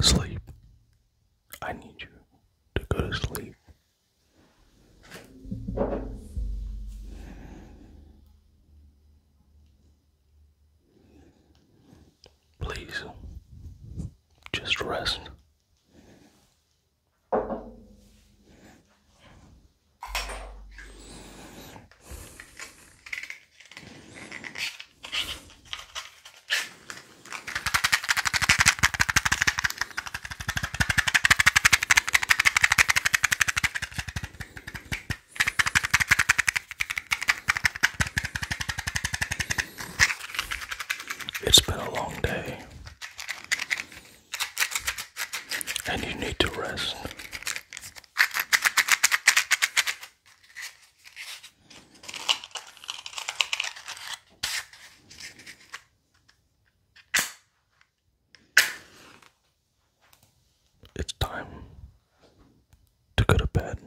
Sleep. I need you to go to sleep. Please, just rest. It's been a long day, and you need to rest. It's time to go to bed.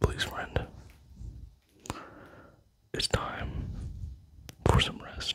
Please, friend, it's time for some rest.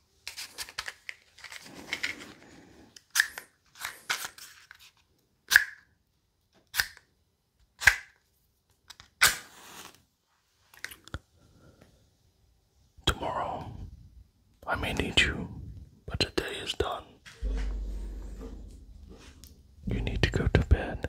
Tomorrow, I may need you, but the day is done. You need to go to bed.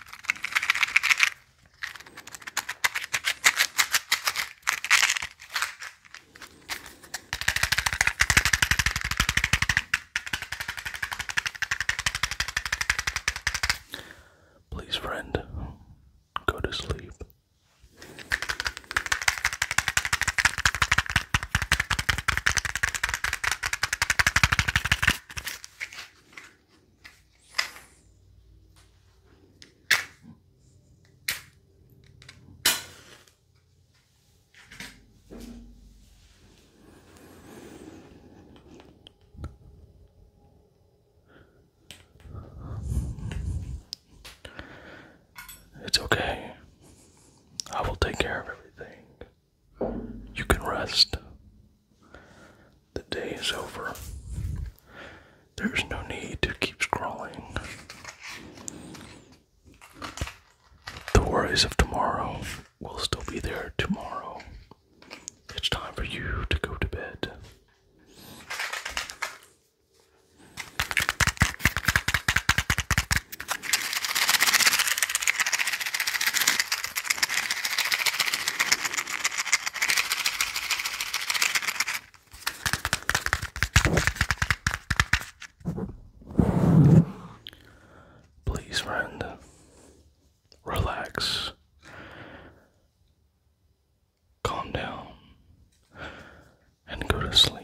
Please, friend, go to sleep. It's okay. I will take care of everything. You can rest. The day is over. There's no need to keep scrawling. The worries of tomorrow will still be there tomorrow. It's time for you to go to bed. Please, friend, relax, calm down, and go to sleep.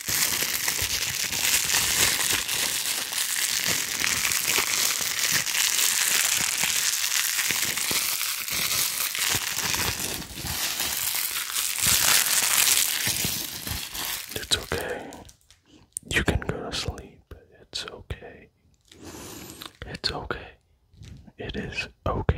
It's okay. You can go to sleep. It's okay. It's okay. It is okay.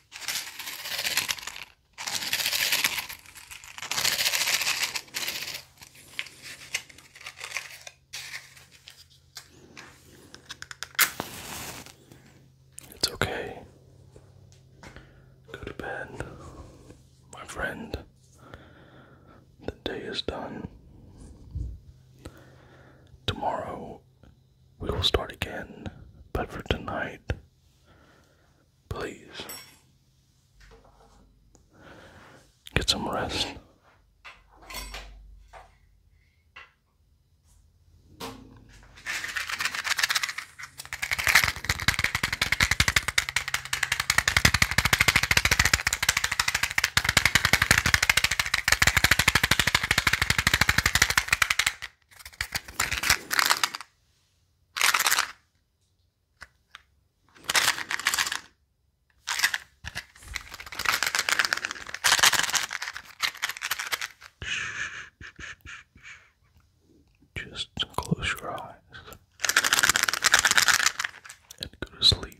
It's okay. Go to bed, my friend. The day is done. Tomorrow we will start again. But for tonight, please get some rest. Just close your eyes and go to sleep.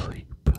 Sleep, please.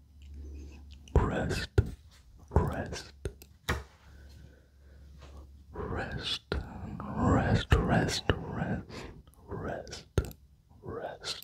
Rest, rest, rest, rest, rest, rest, rest, rest.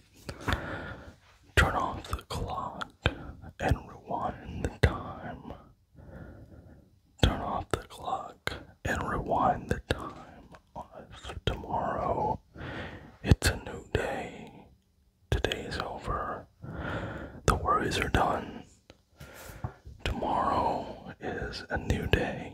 Turn off the clock and rewind the time. Turn off the clock and rewind the time tomorrow. It's a new day. Today is over. The worries are done. Tomorrow is a new day.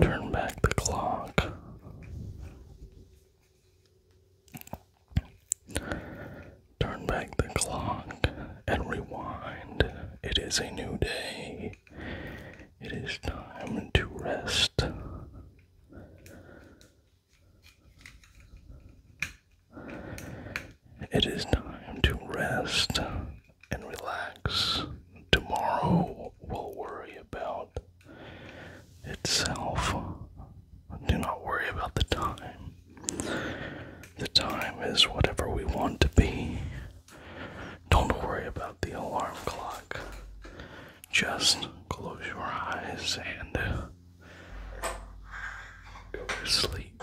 Turn back the clock. Turn back the clock and rewind. It is a new day. It is time to rest. It is time to rest and relax. Tomorrow will worry about itself. Do not worry about the time. The time is whatever we want to be. Don't worry about the alarm clock. Just close your eyes and go to sleep.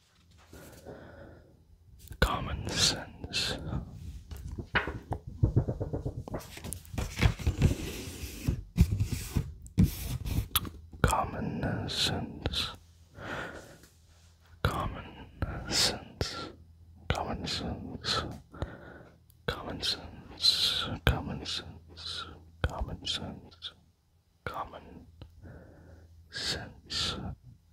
common sense. Common sense. Common sense. Common sense. Common sense. Common sense. Common sense. Common sense.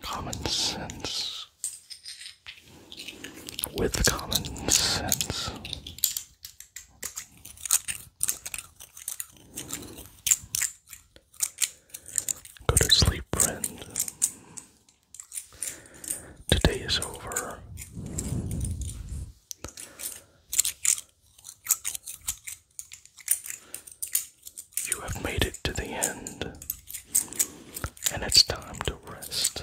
Common sense with common sense. Go to sleep, friend. Today is over. You have made it to the end, and it's time to rest.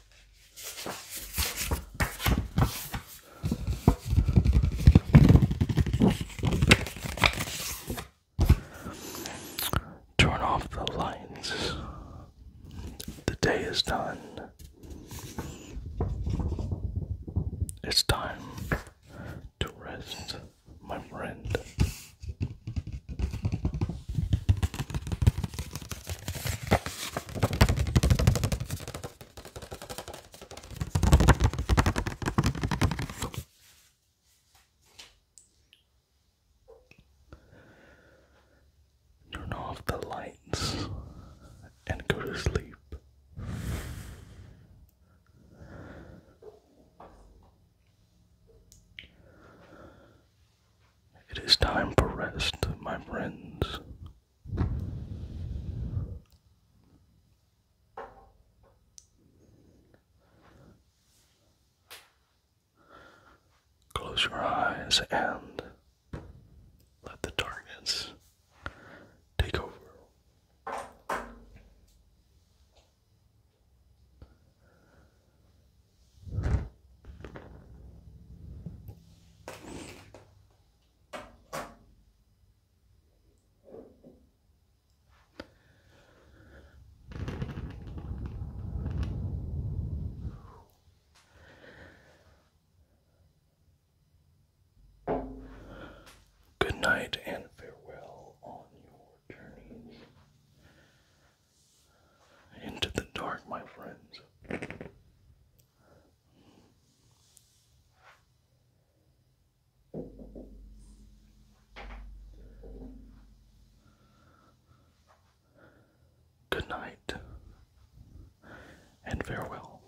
Turn off the lights. The day is done. It's time to rest, my friend. Turn off the lights and go to sleep. It is time for rest, my friends. Close your eyes and let the darkness take over. Good night and farewell on your journeys into the dark, my friends. Good night and farewell.